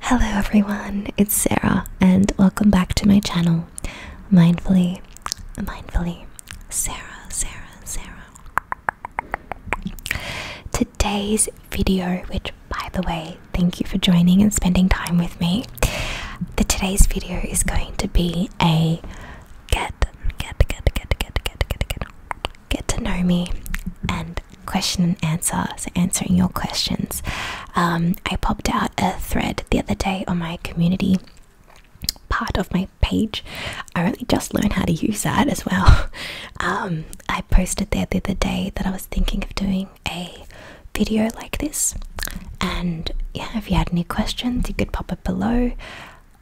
Hello everyone, it's Sarah and welcome back to my channel. Mindfully, mindfully, Sarah, Sarah, Sarah. Today's video, which by the way, thank you for joining and spending time with me. The today's video is going to be a get, get, get, get, get, get, get, get, to know me and question and answer, so answering your questions. Um, I popped out a thread the other day on my community part of my page. I only just learned how to use that as well. Um, I posted there the other day that I was thinking of doing a video like this, and yeah, if you had any questions, you could pop it below.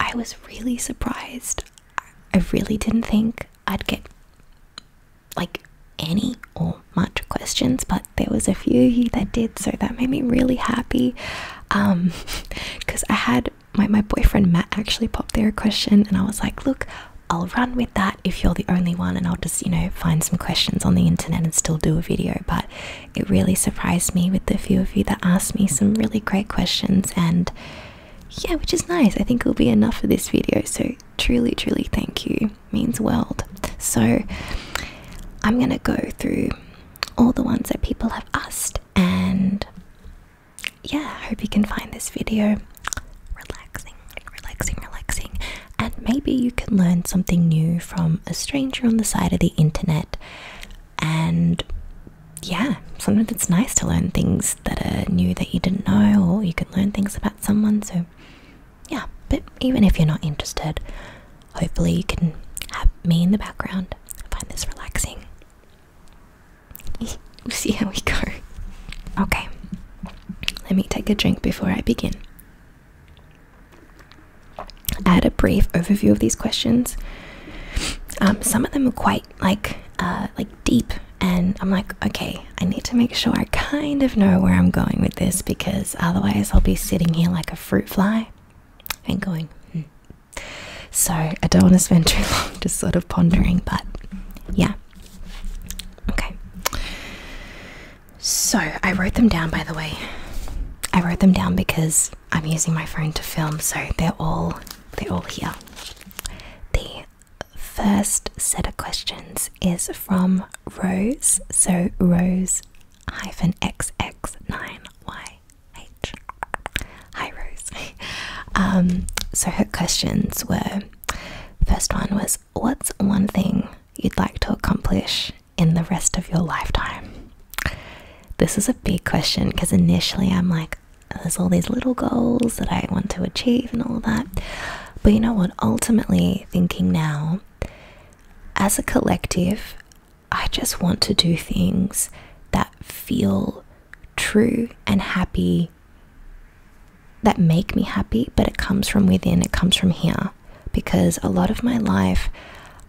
I was really surprised. I really didn't think I'd get like any or much questions, but there was a few that did, so that made me really happy. Um, because I had my my boyfriend Matt actually popped there a question, and I was like, look, I'll run with that if you're the only one, and I'll just you know find some questions on the internet and still do a video. But it really surprised me with the few of you that asked me some really great questions and. Yeah, which is nice. I think it'll be enough for this video. So truly, truly thank you means world. So I'm gonna go through all the ones that people have asked and yeah, I hope you can find this video relaxing, relaxing, relaxing. And maybe you can learn something new from a stranger on the side of the internet. And yeah, sometimes it's nice to learn things that are new that you didn't know, or you can learn things about someone. So, yeah, but even if you're not interested, hopefully you can have me in the background. I find this relaxing. we'll see how we go. Okay, let me take a drink before I begin. I had a brief overview of these questions. Um, some of them are quite like uh, like deep, and I'm like, okay, I need to make sure I kind of know where I'm going with this because otherwise I'll be sitting here like a fruit fly and going. Hmm. So I don't want to spend too long just sort of pondering, but yeah. Okay. So I wrote them down, by the way. I wrote them down because I'm using my phone to film, so they're all they're all here. The first set of questions is from Rose, so Rose hyphen X 9 yh Hi, Rose. um, so her questions were first one was, What's one thing you'd like to accomplish in the rest of your lifetime? This is a big question because initially I'm like, there's all these little goals that I want to achieve and all that. But you know what? Ultimately, thinking now, as a collective, I just want to do things that feel true and happy, that make me happy, but it comes from within, it comes from here. Because a lot of my life,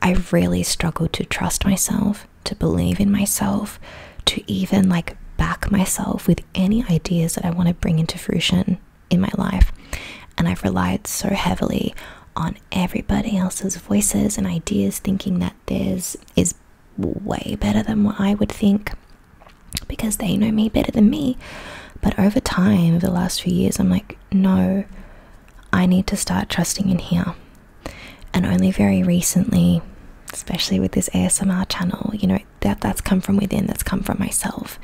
I really struggled to trust myself, to believe in myself, to even like back myself with any ideas that I want to bring into fruition in my life. And I've relied so heavily on everybody else's voices and ideas, thinking that theirs is way better than what I would think because they know me better than me. But over time, over the last few years, I'm like, no, I need to start trusting in here. And only very recently, especially with this ASMR channel, you know, that that's come from within that's come from myself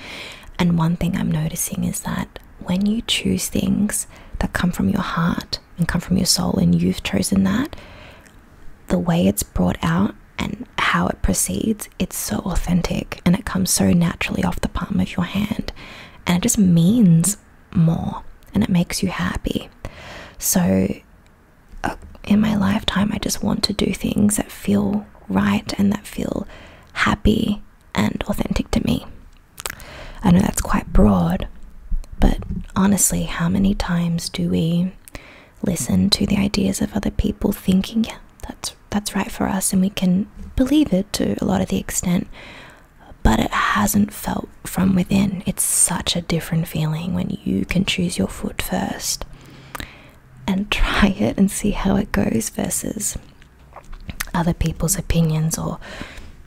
and one thing i'm noticing is that when you choose things that come from your heart and come from your soul and you've chosen that the way it's brought out and how it proceeds it's so authentic and it comes so naturally off the palm of your hand and it just means more and it makes you happy so in my lifetime, I just want to do things that feel right and that feel happy and authentic to me. I know that's quite broad, but honestly, how many times do we listen to the ideas of other people thinking, that's that's right for us and we can believe it to a lot of the extent, but it hasn't felt from within. It's such a different feeling when you can choose your foot first and try it and see how it goes versus other people's opinions or,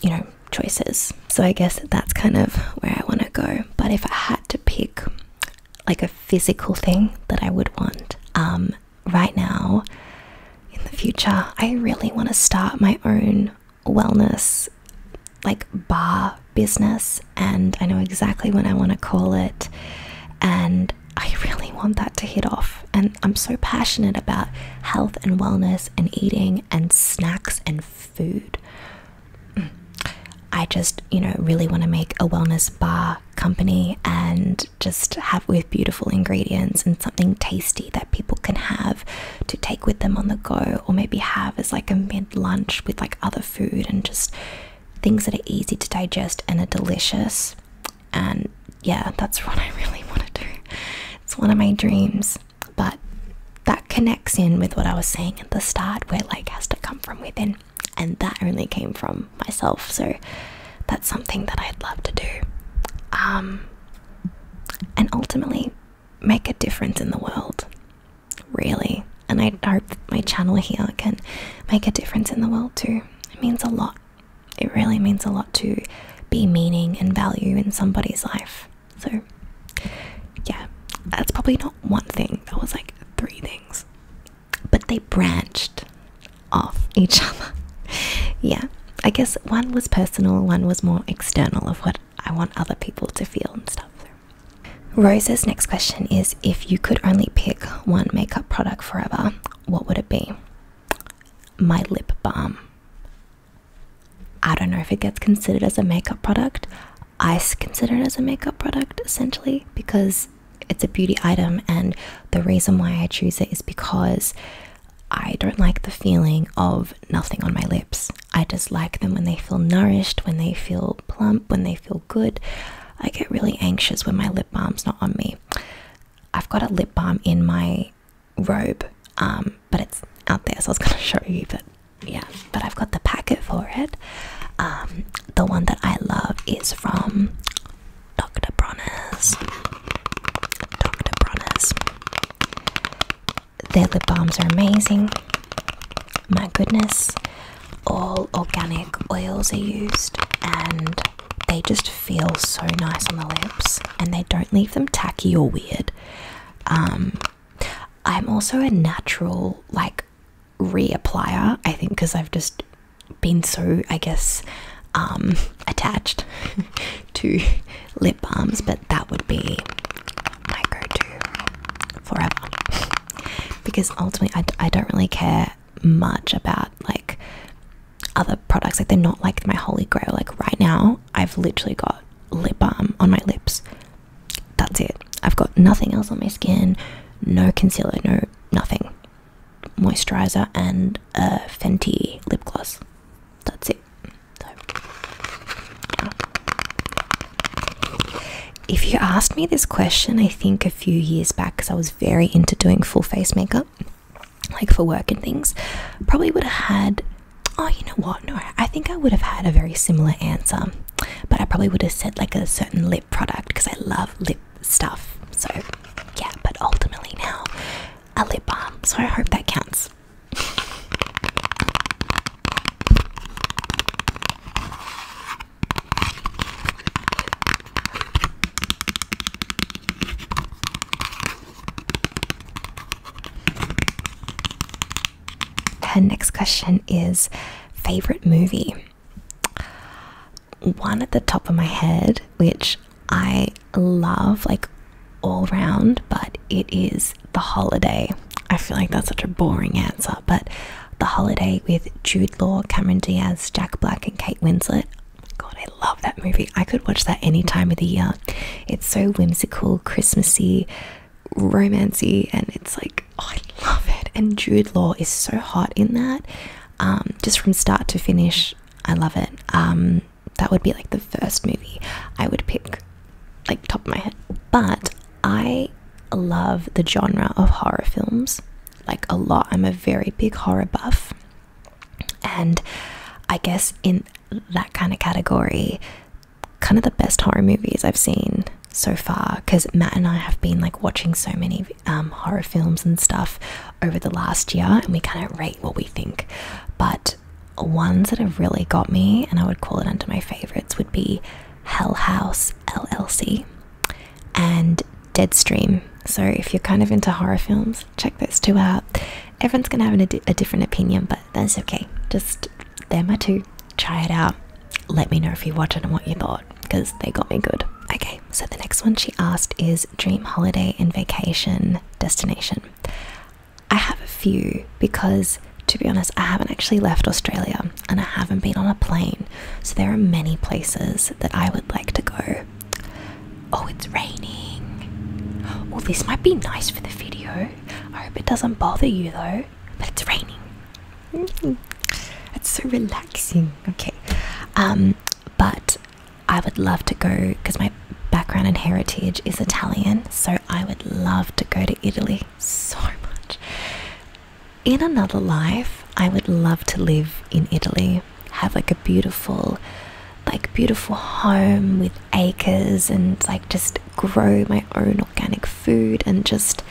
you know, choices. So I guess that's kind of where I want to go. But if I had to pick like a physical thing that I would want um, right now in the future, I really want to start my own wellness like bar business and I know exactly when I want to call it and I really want that to hit off and I'm so passionate about health and wellness and eating and snacks and food. I just, you know, really want to make a wellness bar company and just have with beautiful ingredients and something tasty that people can have to take with them on the go or maybe have as like a mid lunch with like other food and just things that are easy to digest and are delicious. And yeah, that's what I really want to do. It's one of my dreams, but that connects in with what I was saying at the start, where like has to come from within, and that only came from myself. So that's something that I'd love to do, um, and ultimately make a difference in the world. Really, and I hope my channel here can make a difference in the world too. It means a lot. It really means a lot to be meaning and value in somebody's life. So, yeah, that's probably not one thing. That was like three things, but they branched off each other. yeah, I guess one was personal, one was more external of what I want other people to feel and stuff. Rosa's next question is If you could only pick one makeup product forever, what would it be? My lip balm. I don't know if it gets considered as a makeup product. I consider it as a makeup product essentially because it's a beauty item, and the reason why I choose it is because I don't like the feeling of nothing on my lips. I just like them when they feel nourished, when they feel plump, when they feel good. I get really anxious when my lip balm's not on me. I've got a lip balm in my robe, um, but it's out there, so I was going to show you, but yeah, but I've got the packet for it. Um, the one that I love is from Dr. Bronner's. Dr. Bronner's. Their lip balms are amazing. My goodness all organic oils are used and they just feel so nice on the lips and they don't leave them tacky or weird. Um, I'm also a natural, like, re reapplier, I think, because I've just been so, I guess, um, attached to lip balms, but that would be my go to forever. because ultimately, I, I don't really care much about like other products. Like they're not like my holy grail. Like right now, I've literally got lip balm on my lips. That's it. I've got nothing else on my skin. No concealer. No nothing. Moisturizer and a Fenty lip gloss. That's it. If you asked me this question, I think a few years back, because I was very into doing full face makeup, like for work and things, probably would have had. Oh, you know what? No, I think I would have had a very similar answer, but I probably would have said like a certain lip product because I love lip stuff. So, yeah, but ultimately now a lip balm. So, I hope that counts. Her next question is favorite movie. One at the top of my head, which I love like all round, but it is The Holiday. I feel like that's such a boring answer, but the Holiday with Jude Law, Cameron Diaz, Jack Black, and Kate Winslet. God, I love that movie. I could watch that any time of the year. It's so whimsical, Christmassy, romancy, and it's like, oh, I love it. And Jude Law is so hot in that. Um, just from start to finish, I love it. Um, that would be like the first movie I would pick, like top of my head. But I love the genre of horror films like a lot. I'm a very big horror buff. And I guess in that kind of category, kind of the best horror movies I've seen so far because Matt and I have been like watching so many um, horror films and stuff over the last year, and we kind of rate what we think. But ones that have really got me, and I would call it under my favorites, would be Hell House LLC and Deadstream. So if you're kind of into horror films, check those two out. Everyone's gonna have a, different opinion, but that's okay. Just them are two. Try it out. Let me know if you watch it and what you thought, because they got me good. Okay, so the next one she asked is dream holiday and vacation destination. I have a few because, to be honest, I haven't actually left Australia and I haven't been on a plane. So there are many places that I would like to go. Oh, it's raining. Oh, this might be nice for the video. I hope it doesn't bother you though, but it's raining. Mm-hmm. It's so relaxing. Okay. Um, but I would love to go because my background and heritage is Italian, so I would love to go to Italy so much in another life, I would love to live in Italy, have like a beautiful, like beautiful home with acres and like just grow my own organic food and just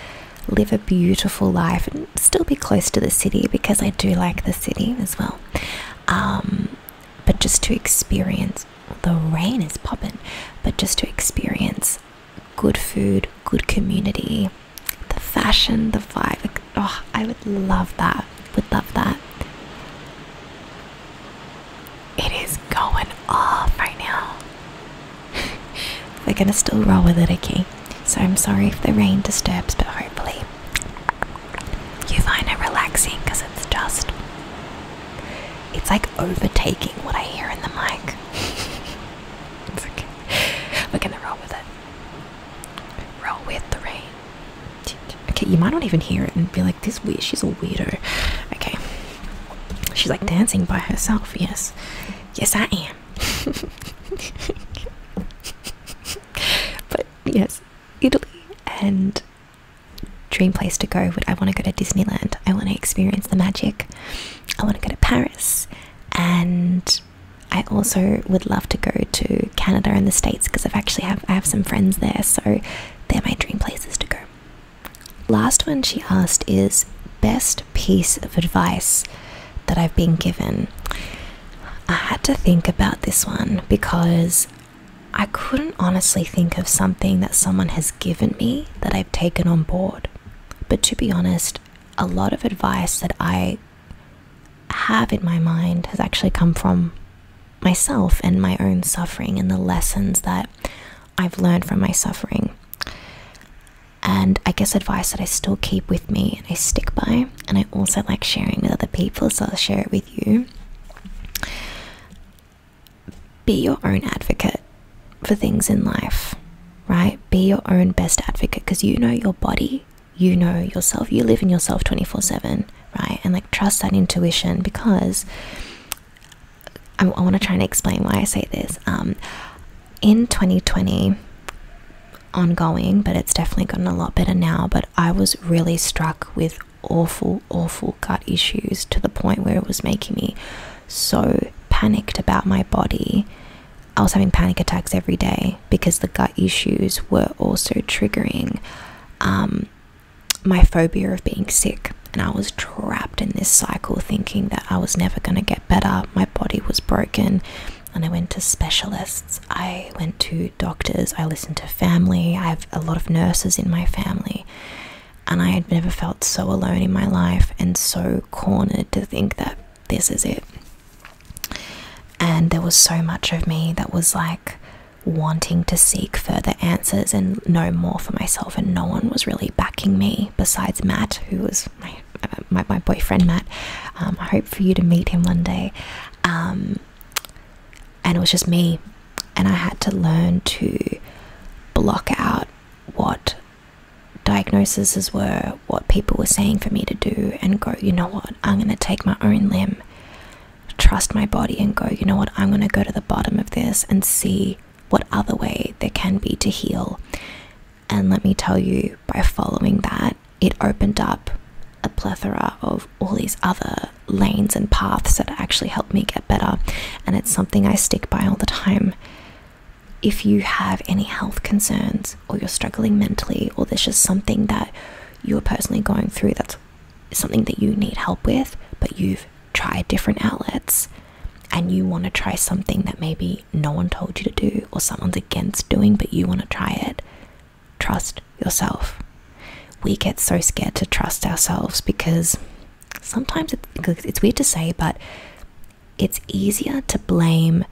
live a beautiful life and still be close to the city because I do like the city as well. Um, but just to experience the rain is popping, but just to experience good food, good community, the fashion, the vibe. oh, I would love that. Would love that. It is going off right now. We're gonna still roll with it, okay? So I'm sorry if the rain disturbs, but hopefully you find it relaxing because it's just. It's like overtaking what I hear in the mic. it's okay. We're gonna roll with it. Roll with Okay, you might not even hear it and be like, this weird, she's a weirdo. Okay. She's like dancing by herself, yes. Yes, I am. but yes, Italy and dream place to go would I want to go to Disneyland. I want to experience the magic. I want to go to Paris and I also would love to go to Canada and the States because I've actually have I have some friends there, so they're my dream places to go. Last one she asked is best piece of advice that I've been given. I had to think about this one because I couldn't honestly think of something that someone has given me that I've taken on board. But to be honest, a lot of advice that I have in my mind has actually come from myself and my own suffering and the lessons that I've learned from my suffering. And I guess advice that I still keep with me and I stick by, and I also like sharing with other people, so I'll share it with you. Be your own advocate for things in life, right? Be your own best advocate because you know your body you know yourself, you live in yourself 24 7, right? And like trust that intuition because I, want to try and explain why I say this. Um, in 2020, ongoing, but it's definitely gotten a lot better now. But I was really struck with awful, awful gut issues to the point where it was making me so panicked about my body I was having panic attacks every day because the gut issues were also triggering um, my phobia of being sick. And I was trapped in this cycle thinking that I was never going to get better. My body was broken. And I went to specialists, I went to doctors, I listened to family. I have a lot of nurses in my family. And I had never felt so alone in my life and so cornered to think that this is it. And there was so much of me that was like wanting to seek further answers and know more for myself, and no one was really backing me besides Matt, who was my my, boyfriend Matt. Um, I hope for you to meet him one day. Um, and it was just me, and I had to learn to block out what diagnoses were, what people were saying for me to do, and go, you know what, I'm going to take my own limb, trust my body, and go, you know what? I'm going to go to the bottom of this and see what other way there can be to heal. And let me tell you, by following that, it opened up a plethora of all these other lanes and paths that actually helped me get better. And it's something I stick by all the time. If you have any health concerns, or you're struggling mentally, or there's just something that you're personally going through that's something that you need help with, but you've tried different outlets and you want to try something that maybe no one told you to do or someone's against doing, but you want to try it, trust yourself. We get so scared to trust ourselves because sometimes it's, it's weird to say, but it's easier to blame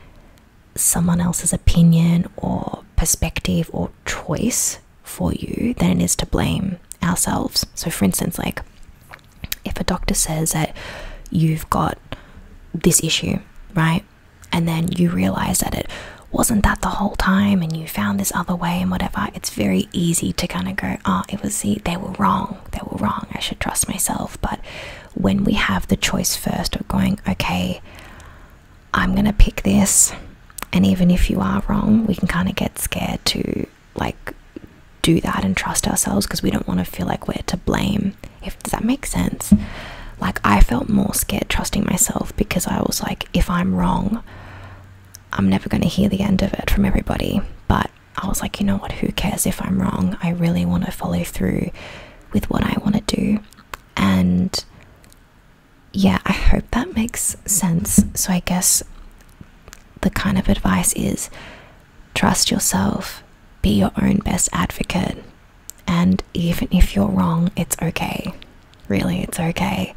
someone else's opinion or perspective or choice for you than it is to blame ourselves. So, for instance, like if a doctor says that you've got this issue, right? And then you realize that it wasn't that the whole time and you found this other way and whatever, it's very easy to kind of go, oh, it was the, they were wrong, they were wrong, I should trust myself. But when we have the choice first of going, okay, I'm going to pick this. And even if you are wrong, we can kind of get scared to like do that and trust ourselves because we don't want to feel like we're to blame. If does that make sense? Like I felt more scared trusting myself because I was like if I'm wrong, I'm never going to hear the end of it from everybody. But I was like, you know what, who cares if I'm wrong? I really want to follow through with what I want to do and yeah, I hope that makes sense. So, I guess the kind of advice is trust yourself, be your own best advocate, and even if you're wrong, it's okay. Really, it's okay.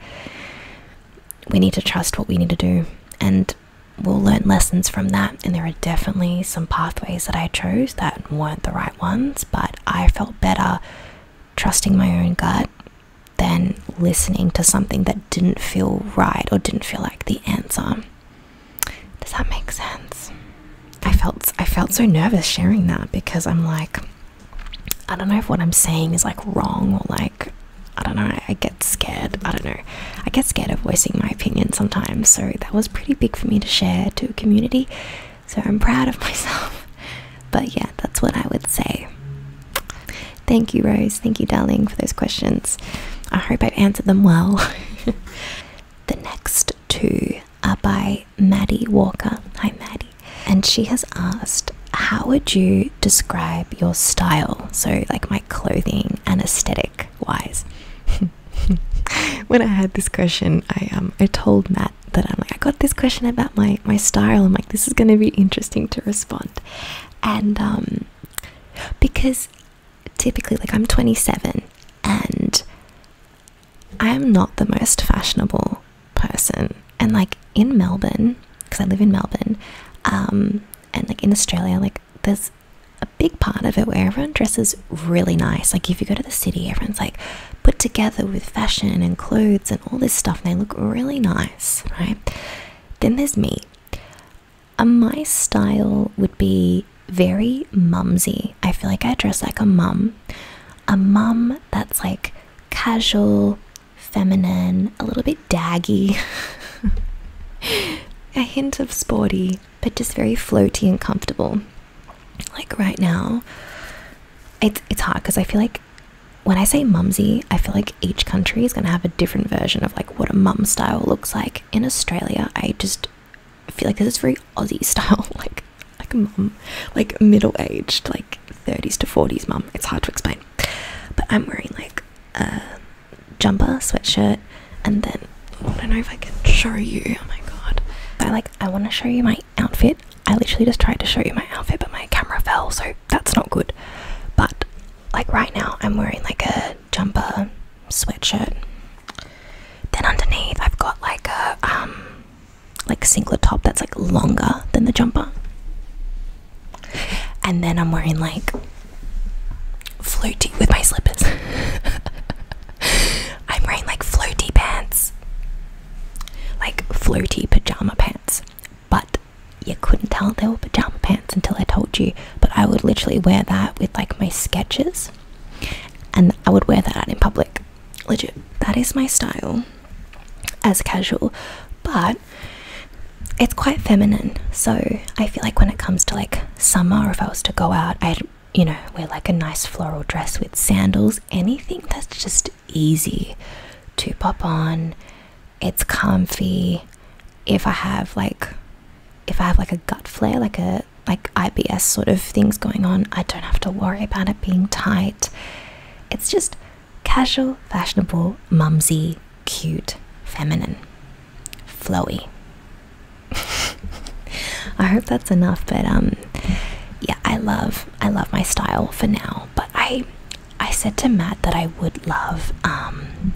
We need to trust what we need to do, and we'll learn lessons from that. And there are definitely some pathways that I chose that weren't the right ones, but I felt better trusting my own gut than listening to something that didn't feel right or didn't feel like the answer. Does that make sense? I felt I felt so nervous sharing that because I'm like I don't know if what I'm saying is like wrong or like I don't know, I get scared. I don't know. I get scared of voicing my opinion sometimes. So that was pretty big for me to share to a community so I'm proud of myself. But yeah, that's what I would say. Thank you, Rose. Thank you, darling, for those questions. I hope I've answered them well. the next two are by Maddie Walker. Hi, Maddie. And she has asked, How would you describe your style? So, like my clothing and aesthetic wise. when I had this question, I um I told Matt that I'm like I got this question about my my style I'm like this is going to be interesting to respond and um because typically like I'm 27 and I am not the most fashionable person and like in Melbourne because I live in Melbourne um and like in Australia like there's a big part of it where everyone dresses really nice. Like if you go to the city, everyone's like put together with fashion and clothes and all this stuff, they look really nice, right? Then there's me. Uh, my style would be very mumsy. I feel like I dress like a mum. A mum that's like casual, feminine, a little bit daggy, a hint of sporty, but just very floaty and comfortable like right now it's it's hard because i feel like when i say mumsy i feel like each country is going to have a different version of like what a mum style looks like in australia i just feel like this is very aussie style like like a mum like middle-aged like 30s to 40s mum it's hard to explain but i'm wearing like a jumper sweatshirt and then i don't know if i can show you oh my god i like i want to show you my outfit. I literally just tried to show you my outfit, but my camera fell, so that's not good. But like right now, I'm wearing like a jumper sweatshirt. Then underneath, I've got like a um, like singlet top that's like longer than the jumper. And then I'm wearing like flirty with my slippers. I'm wearing like flirty pants like floaty pajama pants, but you couldn't tell they were pajama pants until I told you. But I would literally wear that with like my sketches, and I would wear that out in public. Legit, that is my style as casual, but it's quite feminine. So I feel like when it comes to like summer, if I was to go out, I'd you know wear like a nice floral dress with sandals anything that's just easy to pop on. It's comfy. If I have like if I have like a gut flare, like a like IBS sort of things going on, I don't have to worry about it being tight. It's just casual, fashionable, mumsy, cute, feminine, flowy. I hope that's enough, but um yeah, I love I love my style for now, but I I said to Matt that I would love um,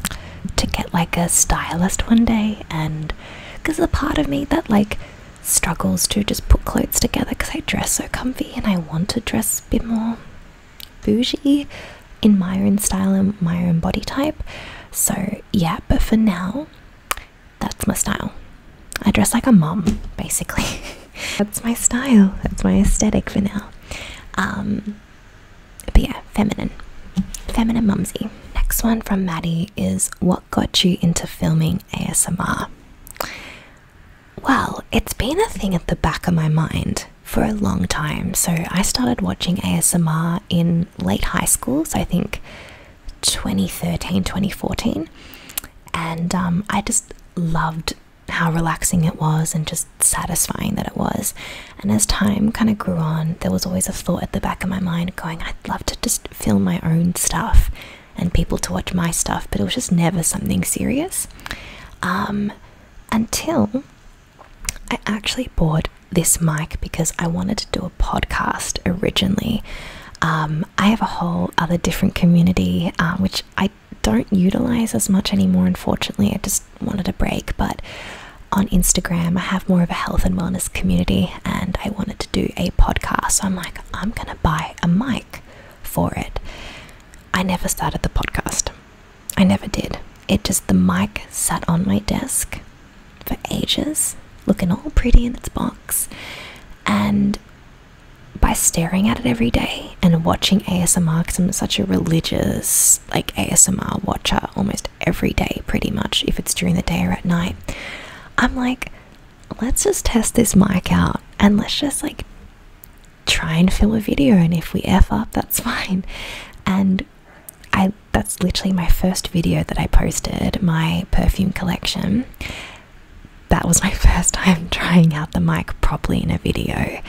to get like a stylist one day and because a part of me that like struggles to just put clothes together because I dress so comfy and I want to dress a bit more bougie in my own style and my own body type. So yeah, but for now that's my style. I dress like a mom, basically. that's my style. That's my aesthetic for now. Um, but yeah, feminine. Feminine mumsy. Next one from Maddie is What got you into filming ASMR? Well, it's been a thing at the back of my mind for a long time. So I started watching ASMR in late high school. So I think 2013 2014 and um, i just loved how relaxing it was and just satisfying that it was and as time kind of grew on there was always a thought at the back of my mind going i'd love to just film my own stuff and people to watch my stuff but it was just never something serious um, until i actually bought this mic because i wanted to do a podcast originally um, I have a whole other different community uh, which I don't utilize as much anymore. Unfortunately, I just wanted a break. But on Instagram, I have more of a health and wellness community, and I wanted to do a podcast. So I'm like, I'm gonna buy a mic for it. I never started the podcast. I never did. It just the mic sat on my desk for ages, looking all pretty in its box, and by staring at it every day and watching ASMR because I'm such a religious like ASMR watcher almost every day pretty much if it's during the day or at night I'm like let's just test this mic out and let's just like try and film a video and if we f up that's fine and I that's literally my first video that I posted my perfume collection that was my first time trying out the mic properly in a video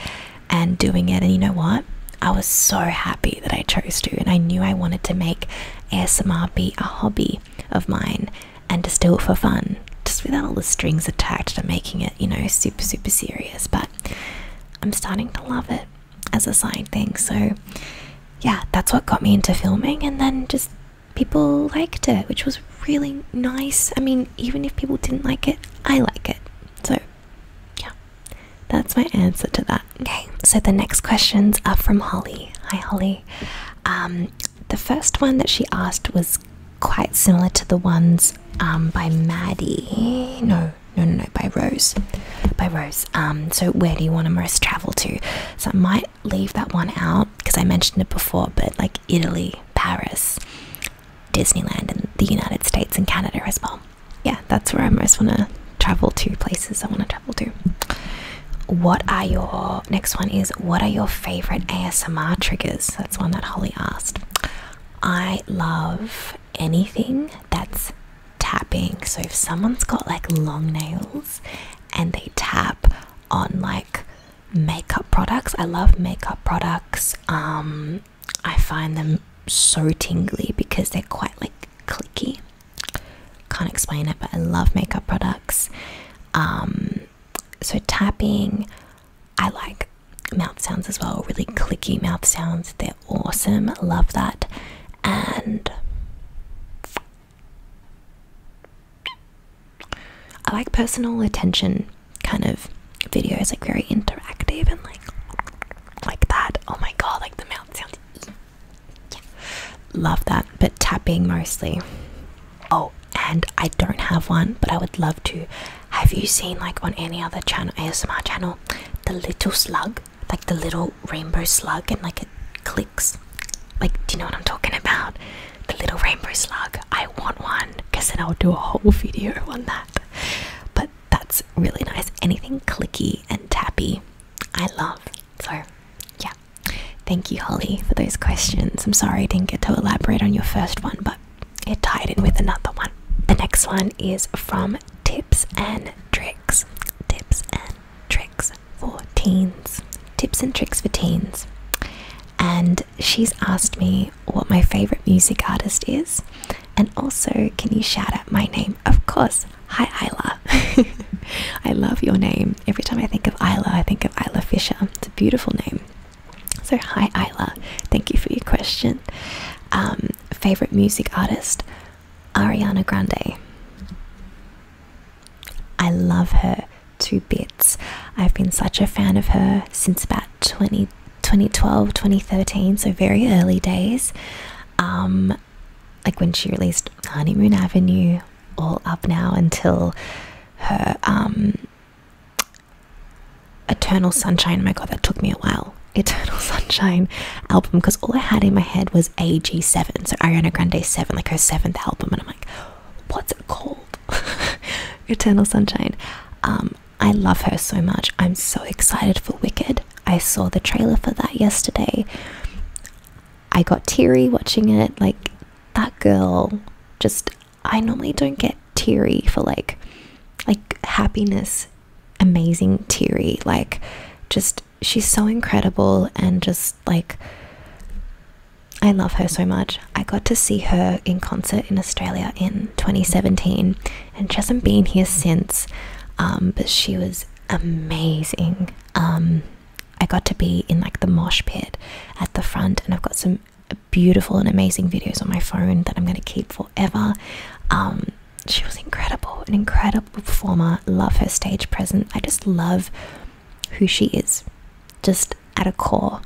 and doing it. And you know what? I was so happy that I chose to, and I knew I wanted to make ASMR be a hobby of mine and just do it for fun, just without all the strings attached to making it, you know, super, super serious. But I'm starting to love it as a side thing. So, yeah, that's what got me into filming, and then just people liked it, which was really nice. I mean, even if people didn't like it, I like it. So, yeah, that's my answer to that. Okay, so the next questions are from Holly. Hi, Holly. Um, the first one that she asked was quite similar to the ones um, by Maddie. No, no, no, no, by Rose. By Rose. Um, so, where do you want to most travel to? So, my leave that one out because I mentioned it before, but like Italy, Paris, Disneyland, and the United States and Canada as well. Yeah, that's where I most want to travel to, places I want to travel to. What are your next one is what are your favorite ASMR triggers? That's one that Holly asked. I love anything that's tapping. So if someone's got like long nails and they tap on like makeup products. I love makeup products. Um, I find them so tingly because they're quite like clicky. Can't explain it, but I love makeup products. Um, so tapping, I like mouth sounds as well, really clicky mouth sounds. They're awesome. Love that. And I like personal attention kind of videos, like very interactive and like like that. Oh my god, like the mouth sounds. Yeah. Love that, but tapping mostly. Oh, and I don't have one, but I would love to. Have you seen like on any other channel, ASMR channel, the little slug, like the little rainbow slug, and like it clicks? Like, do you know what I'm talking about? the little rainbow slug. I want one because then I'll do a whole video on that. But that's really nice. Anything clicky and tappy, I love. So, yeah. Thank you, Holly, for those questions. I'm sorry I didn't get to elaborate on your first one, but it tied in with another one. The next one is from Tips and Tricks. Tips and Tricks for Teens. Tips and Tricks for Teens. And she's asked me what my favorite music artist is, and also can you shout out my name? Of course. Hi, Isla. I love your name. Every time I think of Isla, I think of Isla Fisher. It's a beautiful name. So, hi, Isla. Thank you for your question. Um, favorite music artist? Ariana Grande. I love her. Two bits. I've been such a fan of her since about 20, 2012, 2013, so very early days. Um, like when she released Honeymoon Avenue, all up now until her um, Eternal Sunshine. Oh my god, that took me a while. Eternal Sunshine album because all I had in my head was AG7, so Ariana Grande 7, like her seventh album, and I'm like, what's it called? Eternal Sunshine. Um, I love her so much. I'm so excited for Wicked. I saw the trailer for that yesterday. I got teary watching it. Like, that girl just. I normally don't get teary for like. Like, happiness, amazing teary. Like, just. She's so incredible and just like. I love her so much. I got to see her in concert in Australia in 2017 and she hasn't been here since, um, but she was amazing. Um, I got to be in like the mosh pit at the front, and I've got some beautiful and amazing videos on my phone that I'm going to keep forever. Um, she was incredible, an incredible performer. Love her stage presence. I just love who she is just at a core.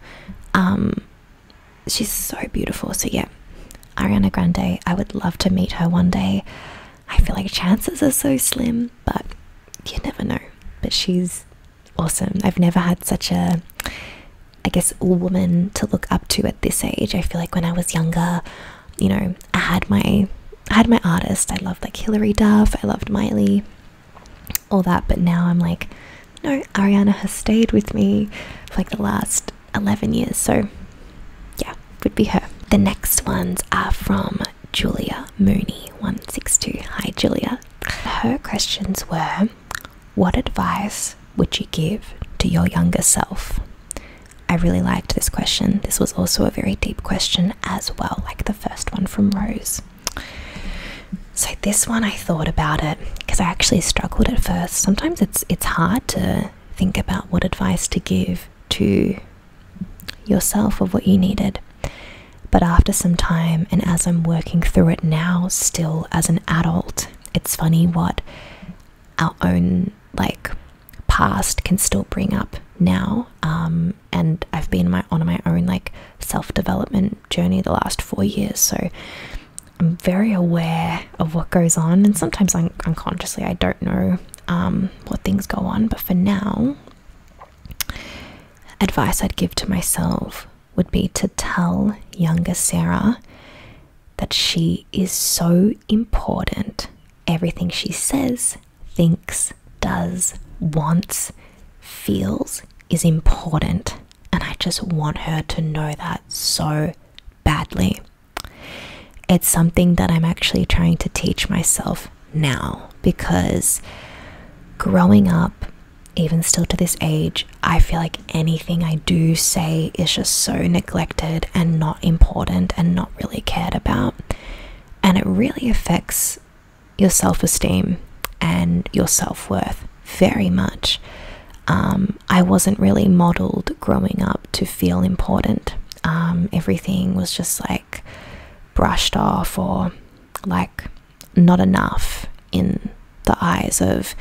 Um, she's so beautiful. So, yeah, Ariana Grande, I would love to meet her one day. I feel like chances are so slim, but you never know. But she's awesome. I've never had such a, I guess, woman to look up to at this age. I feel like when I was younger, you know, I had my I had my artists. I loved like Hilary Duff. I loved Miley all that. But now I'm like, no, Ariana has stayed with me for like the last 11 years. So yeah, would be her. The next ones are from Julia Mooney 162. Hi, Julia. Her questions were What advice would you give to your younger self? I really liked this question. This was also a very deep question as well, like the first one from Rose. So this one I thought about it because I actually struggled at first. Sometimes it's it's hard to think about what advice to give to yourself of what you needed. But after some time and as I'm working through it now still as an adult, it's funny what our own like past can still bring up now um, and I've been my on my own like self-development journey the last four years, so I'm very aware of what goes on, and sometimes un unconsciously I don't know um, what things go on. But for now, advice I'd give to myself would be to tell younger Sarah that she is so important. Everything she says, thinks, does, wants, feels is important and I just want her to know that so badly. It's something that I'm actually trying to teach myself now because growing up, even still to this age, I feel like anything I do say is just so neglected and not important and not really cared about. And it really affects your self esteem and your self worth very much. Um, I wasn't really modeled growing up to feel important. Um, everything was just like brushed off or like not enough in the eyes of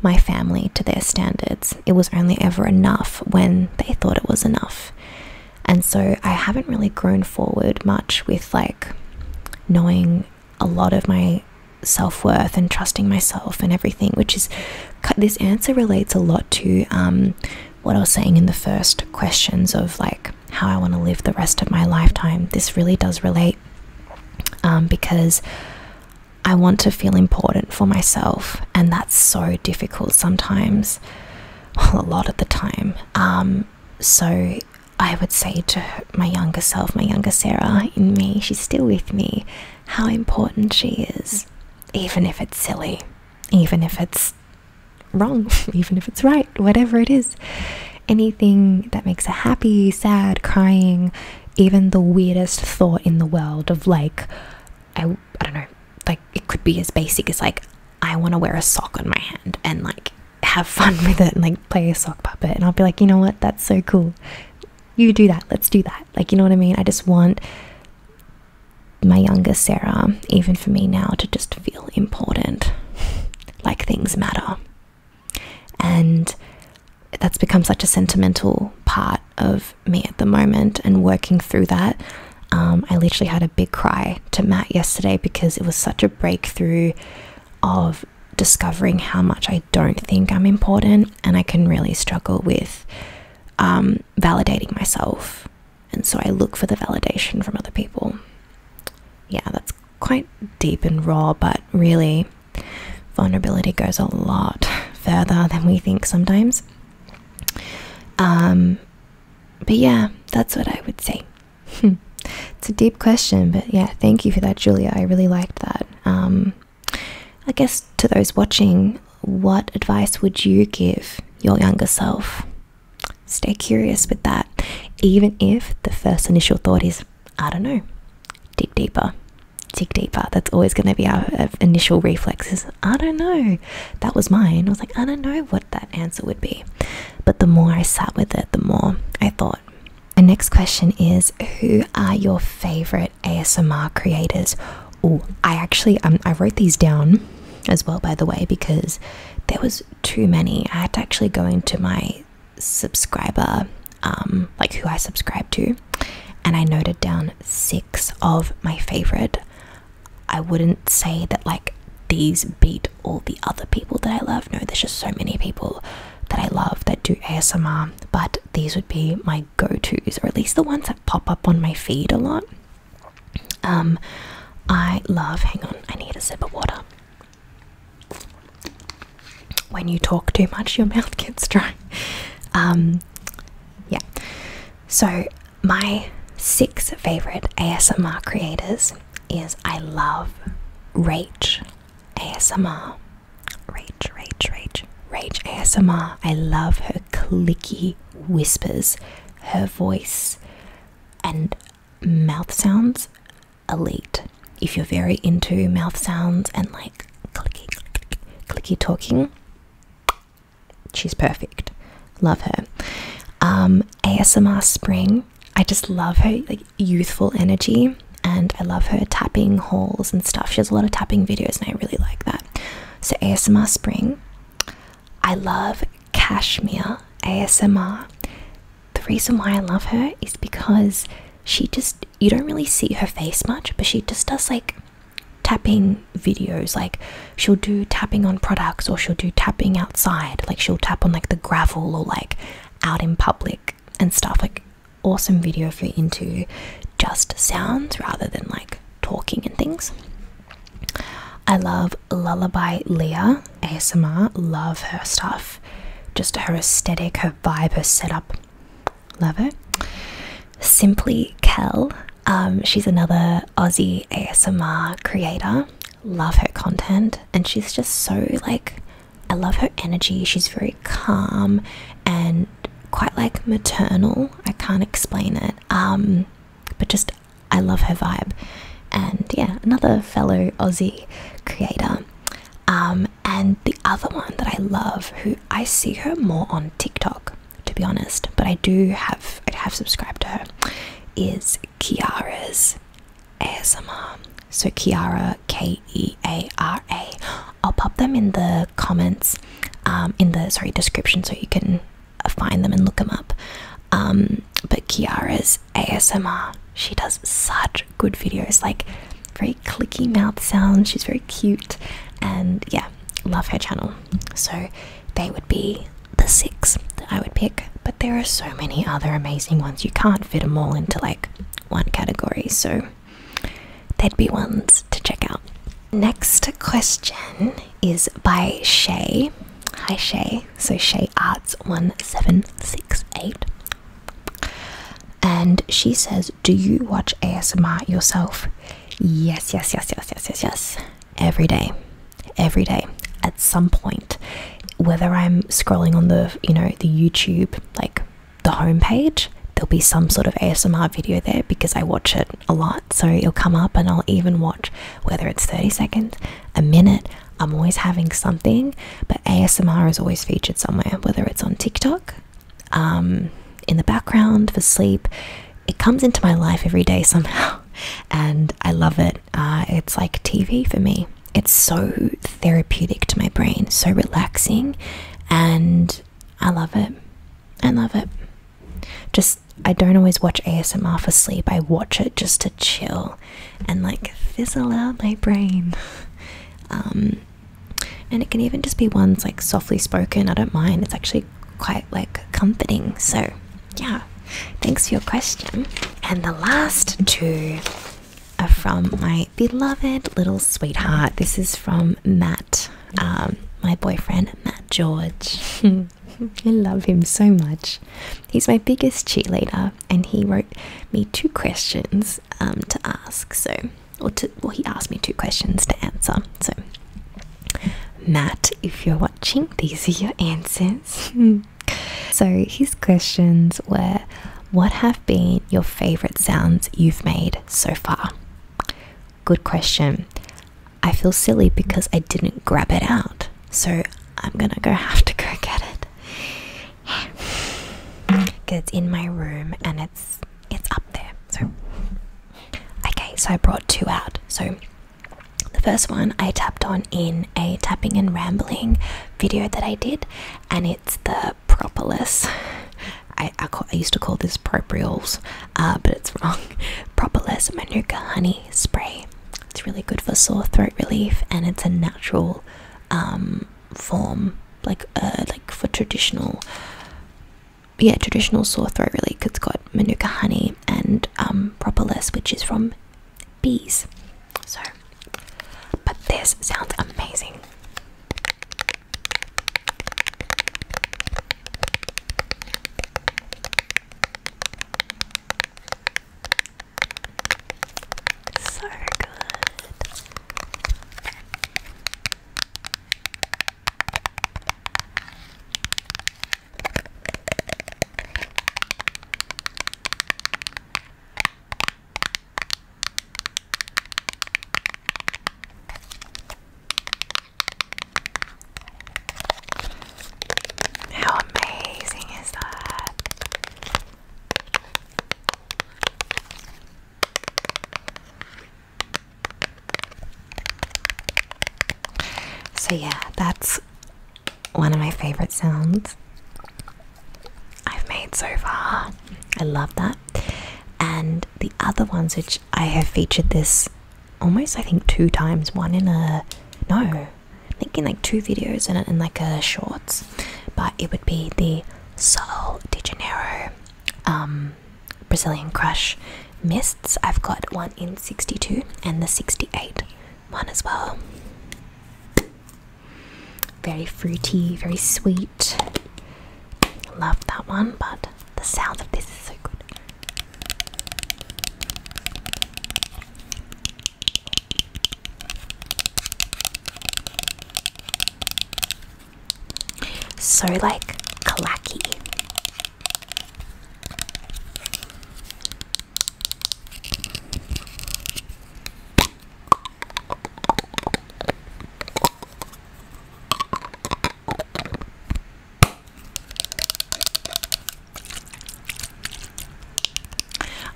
my family to their standards. It was only ever enough when they thought it was enough. And so I haven't really grown forward much with like knowing a lot of my self worth and trusting myself and everything, which is this answer relates a lot to um, what I was saying in the first questions of like how I want to live the rest of my lifetime. This really does relate um, because I want to feel important for myself, and that's so difficult sometimes, a lot of the time. Um, so I would say to my younger self, my younger Sarah in me, she's still with me, how important she is, even if it's silly, even if it's wrong, even if it's right, whatever it is. Anything that makes her happy, sad, crying, even the weirdest thought in the world of like, I don't know, like it could be as basic as like, I want to wear a sock on my hand and like have fun with it and like play a sock puppet and I'll be like, you know what, that's so cool. You do that, let's do that. Like, you know what I mean? I just want my younger Sarah, even for me now, to just feel important, like things matter. And that's become such a sentimental part of me at the moment and working through that. Um, I literally had a big cry to Matt yesterday because it was such a breakthrough of discovering how much I don't think I'm important, and I can really struggle with um, validating myself. And so I look for the validation from other people. Yeah, that's quite deep and raw, but really, vulnerability goes a lot further than we think sometimes. Um, but yeah, that's what I would say. It's a deep question, but yeah, thank you for that, Julia. I really liked that. Um, I guess to those watching, what advice would you give your younger self? Stay curious with that, even if the first initial thought is, I don't know, dig deeper, dig deeper. That's always going to be our initial reflexes. I don't know. That was mine. I was like, I don't know what that answer would be. But the more I sat with it, the more I thought, the next question is Who are your favorite ASMR creators? Oh, I actually um, I wrote these down as well, by the way, because there was too many. I had to actually go into my subscriber, um, like who I subscribe to, and I noted down six of my favorite. I wouldn't say that like these beat all the other people that I love. No, there's just so many people that I love that do ASMR, but these would be my go-tos, or at least the ones that pop up on my feed a lot. Um, I love. Hang on, I need a sip of water. When you talk too much, your mouth gets dry. Um, yeah. So my six favorite ASMR creators is I love Rach ASMR. Rage, rage, rage. Rage ASMR. I love her clicky whispers, her voice, and mouth sounds. Elite. If you're very into mouth sounds and like clicky, clicky, clicky talking, she's perfect. Love her. Um, ASMR Spring. I just love her youthful energy and I love her tapping hauls and stuff. She has a lot of tapping videos and I really like that. So ASMR Spring. I love Cashmere ASMR. The reason why I love her is because she just you don't really see her face much, but she just does like tapping videos like she'll do tapping on products or she'll do tapping outside like she'll tap on like the gravel or like out in public and stuff like awesome video for into just sounds rather than like talking and things. I love Lullaby Leah ASMR, love her stuff, just her aesthetic, her vibe, her setup. Love her. Simply Kel, um, she's another Aussie ASMR creator. Love her content, and she's just so like I love her energy. She's very calm and quite like maternal. I can't explain it. Um, but just I love her vibe. And yeah, another fellow Aussie creator. Um, and the other one that I love, who I see her more on TikTok, to be honest, but I do have I have subscribed to her, is Kiara's ASMR. So Kiara, K E A R A. I'll pop them in the comments, um, in the sorry description, so you can uh, find them and look them up. Um, but Kiara's ASMR. She does such good videos, like very clicky mouth sounds. She's very cute, and yeah, love her channel. So they would be the six that I would pick, but there are so many other amazing ones. You can't fit them all into like one category. So they'd be ones to check out. Next question is by Shay. Hi Shay. So Shay Arts 1768. And she says, Do you watch ASMR yourself? Yes, yes, yes, yes, yes, yes, yes. Every day. Every day. At some point. Whether I'm scrolling on the you know, the YouTube like the homepage, there'll be some sort of ASMR video there because I watch it a lot. So it'll come up and I'll even watch whether it's 30 seconds, a minute. I'm always having something, but ASMR is always featured somewhere, whether it's on TikTok, um, in the background for sleep. It comes into my life every day somehow, and I love it. Uh, it's like TV for me. It's so therapeutic to my brain, so relaxing, and I love it. I love it. Just, I don't always watch ASMR for sleep, I watch it just to chill and like fizzle out my brain. Um, and it can even just be ones like softly spoken, I don't mind. It's actually quite like comforting. So, yeah, thanks for your question. And the last two are from my beloved little sweetheart. This is from Matt, um, my boyfriend, Matt George. I love him so much. He's my biggest cheerleader, and he wrote me two questions um, to ask. So, or to, well, he asked me two questions to answer. So, Matt, if you're watching, these are your answers. so, his questions were what have been your favorite sounds you've made so far? Good question. I feel silly because I didn't grab it out, so I'm gonna go have to go get it. Because it's in my room and it's it's up there. So okay, so I brought two out. So the first one I tapped on in a tapping and rambling video that I did, and it's the propolis. I, I, used to call this propriols, uh, but it's wrong. Propolis Manuka Honey Spray. It's really good for sore throat relief, and it's a natural um, form, like uh, like for traditional, yeah, traditional sore throat relief. It's got Manuka honey and um, propolis, which is from bees. So but this sounds amazing. So good. How amazing is that? So, yeah, that's one of my favorite sounds. I've made so far. I love that. And the other ones which I have featured this almost I think two times, one in a no, making like two videos in and in like a shorts, but it would be the Sol de Janeiro um, Brazilian Crush mists. I've got one in 62 and the 68 one as well. Very fruity, very sweet. Love that one, but the sound of this is so good. So like clacky.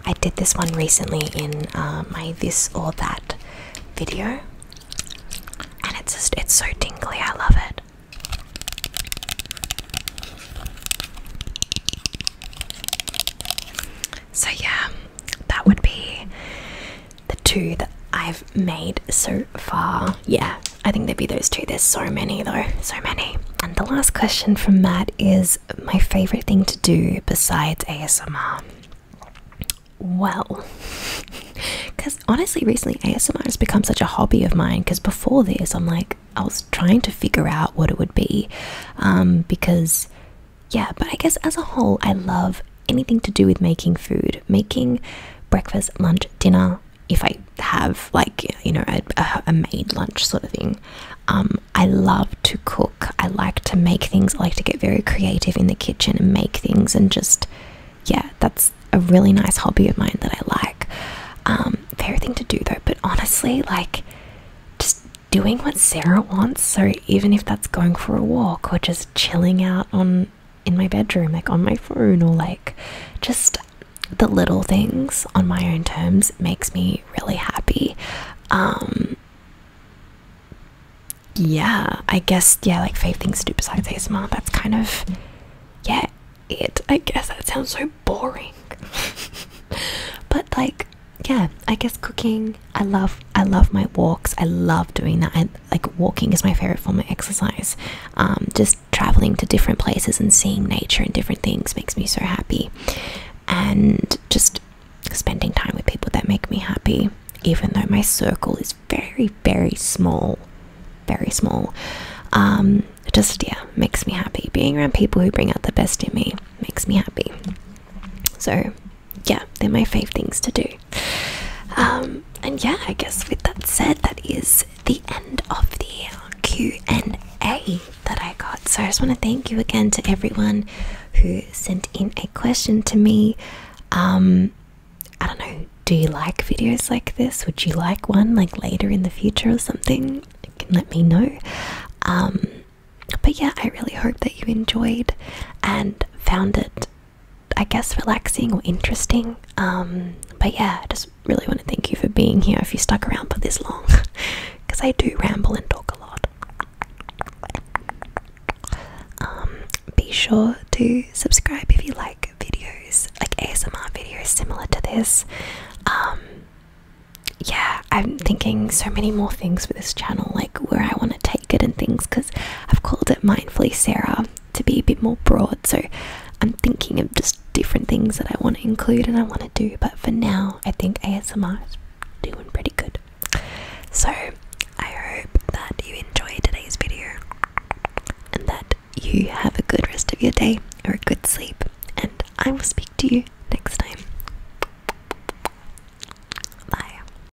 I did this one recently in uh, my this or that video, and it's just it's so dingly. I love it. So yeah, that would be the two that I've made so far. Yeah, I think there'd be those two. There's so many though, so many. And the last question from Matt is my favorite thing to do besides ASMR. Well, because honestly, recently ASMR has become such a hobby of mine. Because before this, I'm like, I was trying to figure out what it would be um, because yeah, but I guess as a whole, I love anything to do with making food, making breakfast, lunch, dinner. If I have, like, you know, a, made lunch sort of thing, um, I love to cook. I like to make things. I like to get very creative in the kitchen and make things, and just, yeah, that's a really nice hobby of mine that I like. Um, thing to do though, but honestly, like, just doing what Sarah wants. So even if that's going for a walk or just chilling out on in my bedroom, like on my phone, or like just the little things on my own terms makes me really happy. Um, yeah, I guess, yeah, like favorite things to do besides ASMR, that's kind of, yeah, it. I guess that sounds so boring. but like, yeah, I guess cooking, I love I love my walks. I love doing that. I like walking is my favorite form of exercise. Um, just traveling to different places and seeing nature and different things makes me so happy. And just spending time with people that make me happy, even though my circle is very very small, very small. Um, just yeah, makes me happy. Being around people who bring out the best in me makes me happy. So yeah, they're my favourite things to do. Um, and yeah, I guess with that said, that is the end of the Q and A that I got. So I just want to thank you again to everyone who sent in a question to me. Um, I don't know. Do you like videos like this? Would you like one like later in the future or something? can let me know. Um, but yeah, I really hope that you enjoyed and found it I guess relaxing or interesting. Um, but yeah, I just really want to thank you for being here if you stuck around for this long because I do ramble and talk a lot. Um, be sure to subscribe if you like videos like ASMR videos similar to this. Um, yeah, I'm thinking so many more things for this channel, like where I want to take it and things because I've called it Mindfully Sarah to be a bit more broad. So I'm thinking of just different things that I want to include and I want to do. But for now, I think ASMR is doing pretty good. So I hope that you enjoyed today's video and that you have a good rest of your day or a good sleep. And I will speak to you next time. Bye.